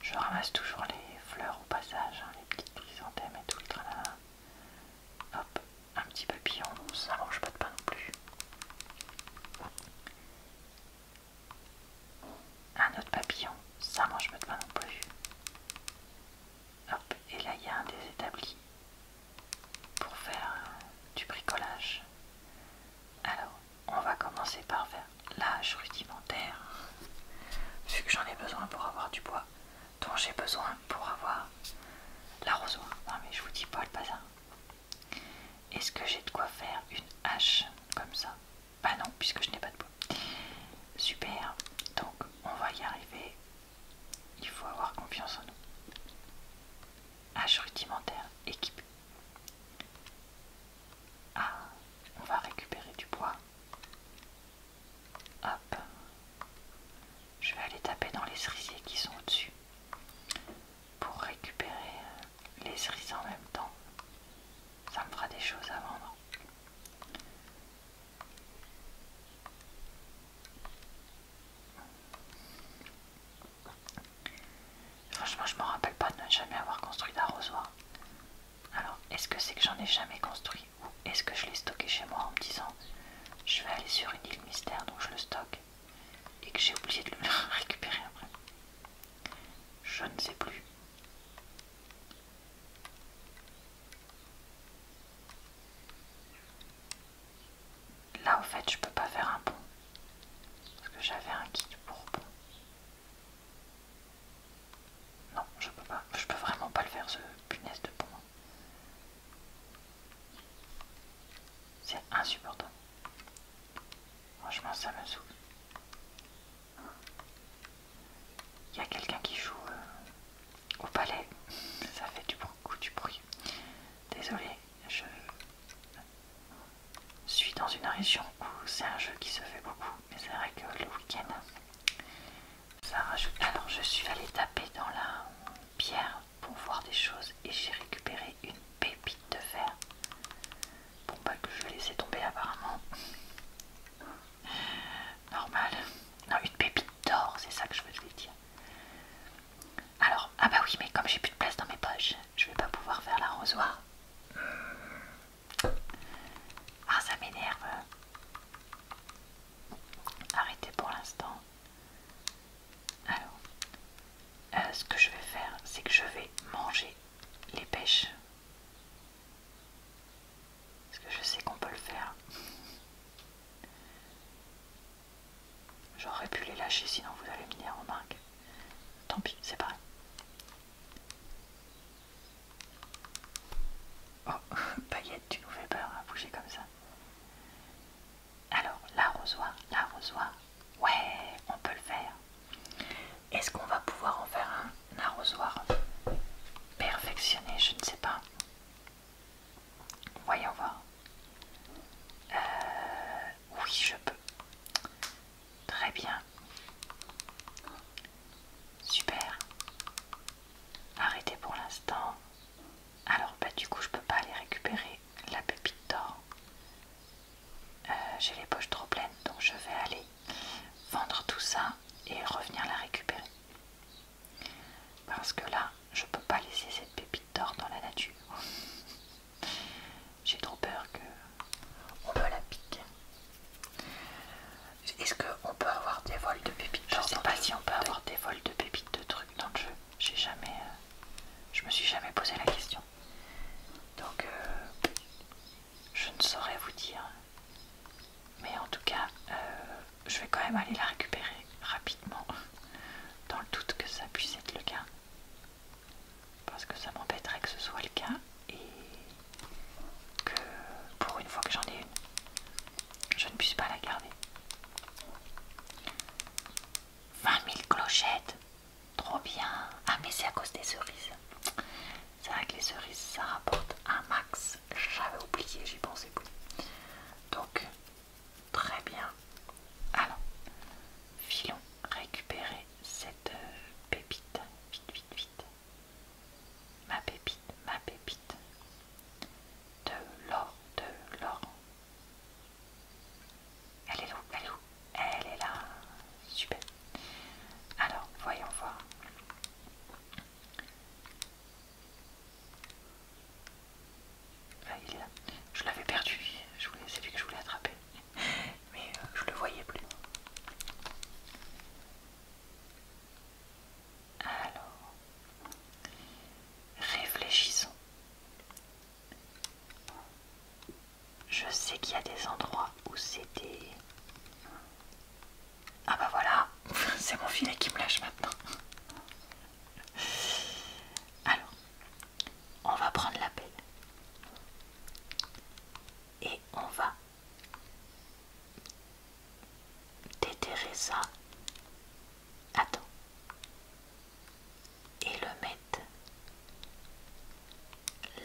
Je ramasse toujours les fleurs au passage, hein, les petites chrysanthèmes et tout le tralala. Hop, un petit papillon, ça mange pas de pain non plus. Un autre papillon, ça mange pas de pain non plus. Hop, et là il y a un des établis pour faire euh, du bricolage. Alors, on va commencer par faire l'âge rudimentaire, vu que j'en ai besoin pour avoir du bois, dont j'ai besoin pour avoir l'arrosoir. Non mais je vous dis pas le bazar. Est-ce que j'ai de quoi faire une hache comme ça Bah non, puisque je n'ai pas de bois. Super, donc on va y arriver il faut avoir confiance en nous. H rudimentaire, équipé. Ah, on va récupérer du bois. Hop. Je vais aller taper dans les cerisiers qui sont au-dessus pour récupérer euh, les cerises en même temps. Ça me fera des choses à vendre. Franchement, je me rappelle pas de ne jamais avoir construit d'arrosoir. Alors, est-ce que c'est que j'en ai jamais construit ou est-ce que je l'ai stocké chez moi en me disant je vais aller sur une île mystère donc je le stocke et que j'ai oublié de le récupérer après Je ne sais plus. Là au fait je peux pas faire un pont. Parce que j'avais un kit pour pont. Non, je peux pas. Je peux vraiment pas le faire ce punaise de pont. C'est insupportable. Franchement, ça me saoule. Il y a quelqu'un qui joue euh, au palais. Ça fait du beaucoup du bruit. Désolé, je suis dans une région où c'est un jeu qui se fait beaucoup, mais c'est vrai que le week-end, ça rajoute. Alors, je suis allée taper dans la pierre pour voir des choses et j'ai récupéré une pépite de fer. Bon, pas que je vais laisser tomber apparemment normal. Non, une pépite d'or, c'est ça que je voulais dire. Alors, ah bah oui, mais comme j'ai plus de place dans mes poches, je vais pas pouvoir faire l'arrosoir. Ah, ça m'énerve. Arrêtez pour l'instant. Alors, euh, ce que je vais faire, c'est que je vais manger les pêches. Parce que je sais qu'on peut le faire. J'aurais pu les lâcher sinon vous allez me dire remarque. Tant pis, c'est pareil. Oh, paillette, tu nous fais peur à hein, bouger comme ça. Alors, l'arrosoir, l'arrosoir. Ouais, on peut le faire. Est-ce qu'on va pouvoir en faire un arrosoir perfectionné Je ne sais pas. Voyons voir. Euh, oui, je peux. Très bien. Super. Arrêtez pour l'instant. Alors, bah, du coup, je ne peux pas aller récupérer la pépite d'or. Euh, j'ai les poches trop pleines, donc je vais aller vendre tout ça et revenir la récupérer. Parce que là, je peux pas laisser cette pépite d'or dans la nature. J'ai trop peur que on me la pique. Est-ce qu'on peut avoir des vols de pépites Je sais pas si on peut avoir des vols de pépites de trucs dans le jeu. J'ai jamais. Euh, je me suis jamais posé la question. Donc euh, je ne saurais vous dire. Mais en tout cas, euh, je vais quand même aller la récupérer rapidement, dans le doute que ça puisse être le cas. Parce que ça m'embêterait que ce soit le cas et que pour une fois que j'en ai une, je ne puisse pas la garder. 20 000 clochettes Trop bien Ah mais c'est à cause des cerises. C'est vrai que les cerises, ça rapporte un max j'avais oublié, j'y pensais plus. Donc, très bien. Alors, filons récupérer cette euh, pépite. Vite, vite, vite. Ma pépite, ma pépite. De l'or, de l'or. Elle est où Elle est où Elle est là. Super. Alors, voyons voir. Ah, je l'avais perdu, c'est lui que je voulais attraper. Mais euh, je ne le voyais plus. Alors, réfléchissons. Je sais qu'il y a des endroits où c'était... Ah bah voilà, c'est mon filet qui me lâche maintenant. Alors, on va prendre la pelle et on va déterrer ça. Attends. Et le mettre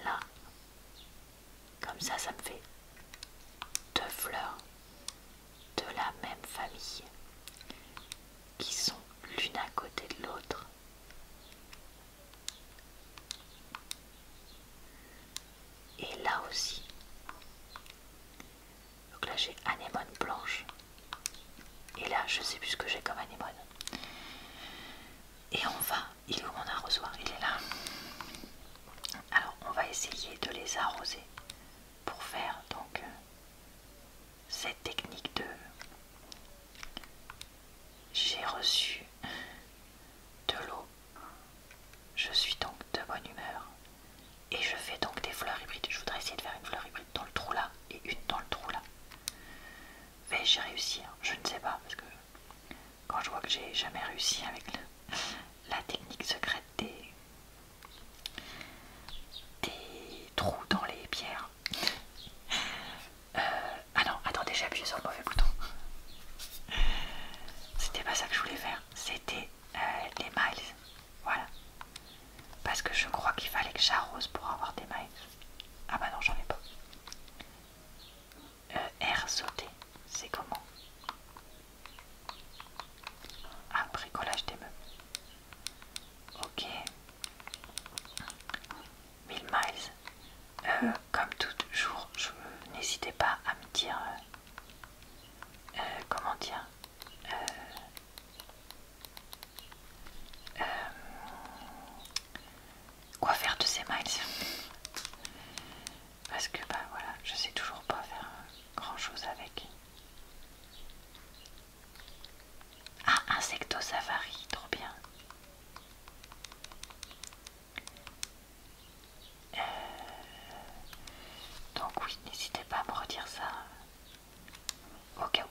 là. Comme ça, ça me fait deux fleurs de la même famille, qui sont l'une à côté de l'autre. Et là aussi, donc là j'ai anémone blanche, et là je sais plus ce que j'ai comme anémone. Et on va, il est où mon arrosoir Il est là. Alors on va essayer de les arroser pour faire donc euh, cette technique de j'ai reçu de l'eau, je suis donc de bonne humeur et je fais donc des fleurs hybrides. Je voudrais essayer de faire une fleur hybride dans le trou là et une dans le trou là. Vais-je réussir Je ne sais pas parce que quand je vois que j'ai jamais réussi avec la technique secrète des, des trous dans les pierres. Euh, ah non, attendez, j'ai appuyé sur le mauvais bouton. C'était pas ça que je voulais faire, c'était des euh, les miles. Voilà. Parce que je crois qu'il fallait que j'arrose pour avoir des miles. Ah bah non, j'en ai pas. Euh, R sauter, c'est comment ah, bricolage des meubles. Ok. 1000 miles. Euh, comme toujours, je n'hésitez pas à me dire. Euh, euh, comment dire Quoi faire de ces miles parce que ben voilà, je sais toujours pas faire euh, grand chose avec. Ah, Insecto Safari, trop bien. Euh, donc oui, n'hésitez pas à me redire ça. Euh, ok.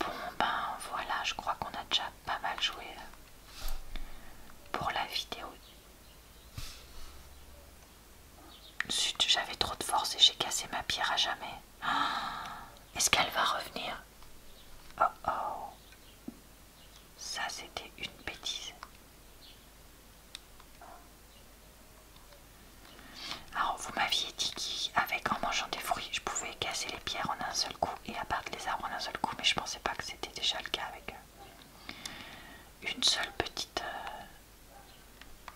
Bon ben voilà, je crois qu'on a déjà pas mal joué pour la vidéo. Zut, j'avais trop de force et j'ai cassé ma pierre à jamais. Ah, est-ce qu'elle va revenir Oh oh Ça, c'était une bêtise. Alors, vous m'aviez dit qu'avec en mangeant des fruits, je pouvais casser les pierres en un seul coup et abattre les arbres en un seul coup, mais je pensais pas que c'était déjà le cas avec eux une seule petite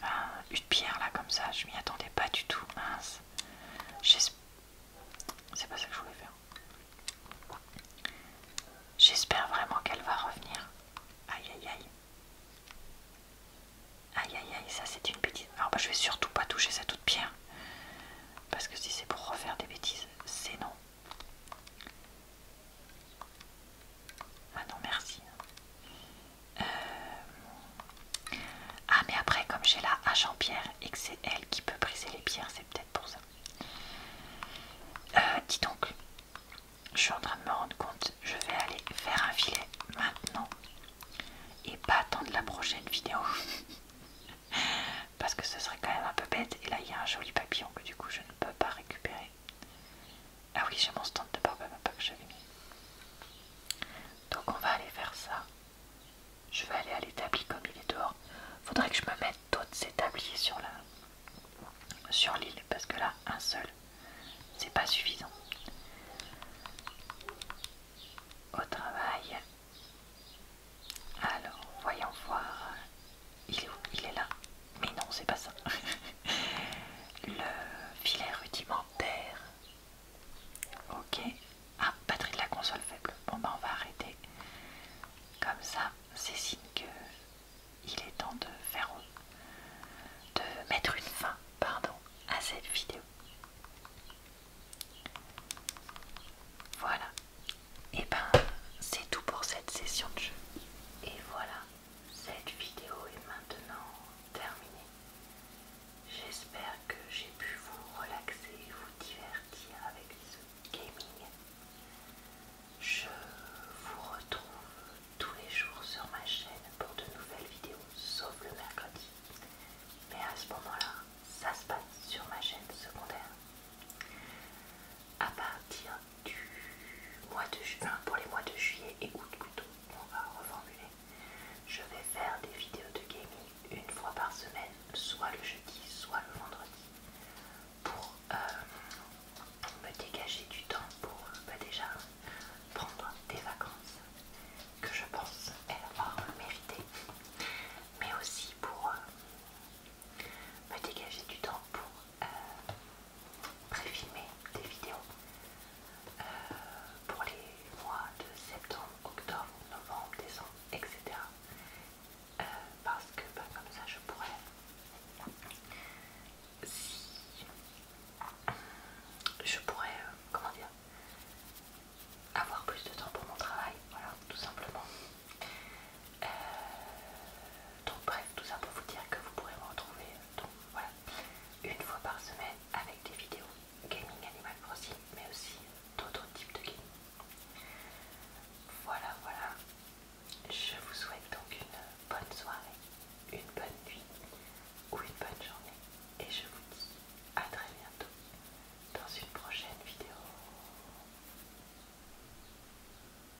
euh, une pierre là comme ça. Je m'y attendais pas du tout. Mince. C'est pas ça que je voulais faire. J'espère vraiment qu'elle va revenir. Aïe aïe aïe. Aïe aïe aïe, ça c'est une bêtise. Alors bah je vais surtout pas toucher cette autre pierre. Parce que si c'est pour refaire des bêtises, c'est non. Ah non, merci. Euh, ah, mais après, comme j'ai la hache en pierre et que c'est elle qui peut briser les pierres, c'est peut-être pour ça. Euh, dis donc, je suis en train de me rendre compte, je vais aller faire un filet maintenant et pas attendre la prochaine vidéo. Parce que ce serait quand même un peu bête. Et là, il y a un joli papillon que du coup, je ne peux pas récupérer. Ah oui, j'ai mon stand de barbe à papa que j'avais mis. Donc on va aller faire ça. Je vais aller à l'établi comme il est dehors. Faudrait que je me mette d'autres établis sur la sur l'île parce que là, un seul, c'est pas suffisant. Au travail. Alors, voyons voir. Il est Il est là. Mais non, c'est pas ça. le filet rudimentaire. Ok. Ah, batterie de la console faible. Bon bah on va arrêter. Comme ça, c'est signe que il est temps de faire de mettre une fin, pardon, à cette vidéo. Voilà. Et eh ben c'est tout pour cette session de jeu. Et voilà cette vidéo est maintenant terminée. J'espère que j'ai pu vous relaxer et vous divertir avec ce gaming. Je vous retrouve tous les jours sur ma chaîne pour de nouvelles vidéos, sauf le mercredi. Mais à ce moment-là, ça se passe sur ma chaîne secondaire. À du mois de juin, pour les mois de juillet et août plutôt, on va reformuler. Je vais faire des vidéos de gaming une fois par semaine, soit le jeudi, soit le vendredi, pour euh, me dégager du temps pour euh, bah, déjà prendre des vacances que je pense elle avoir mérité, mais aussi pour euh, me dégager du temps pour pré euh, préfilmer des vidéos euh, pour les mois de septembre, octobre, novembre, décembre, etc. Euh, parce que bah, comme ça je pourrais, je pourrais, comment dire, avoir plus de temps pour mon travail, voilà, tout simplement. Euh, donc bref, tout ça pour vous dire que vous pourrez me retrouver une fois par semaine avec des vidéos gaming Animal Crossing, mais aussi d'autres types de gaming. Voilà, voilà. Je vous souhaite donc une bonne soirée, une bonne nuit ou une bonne journée. Et je vous dis à très bientôt dans une prochaine vidéo.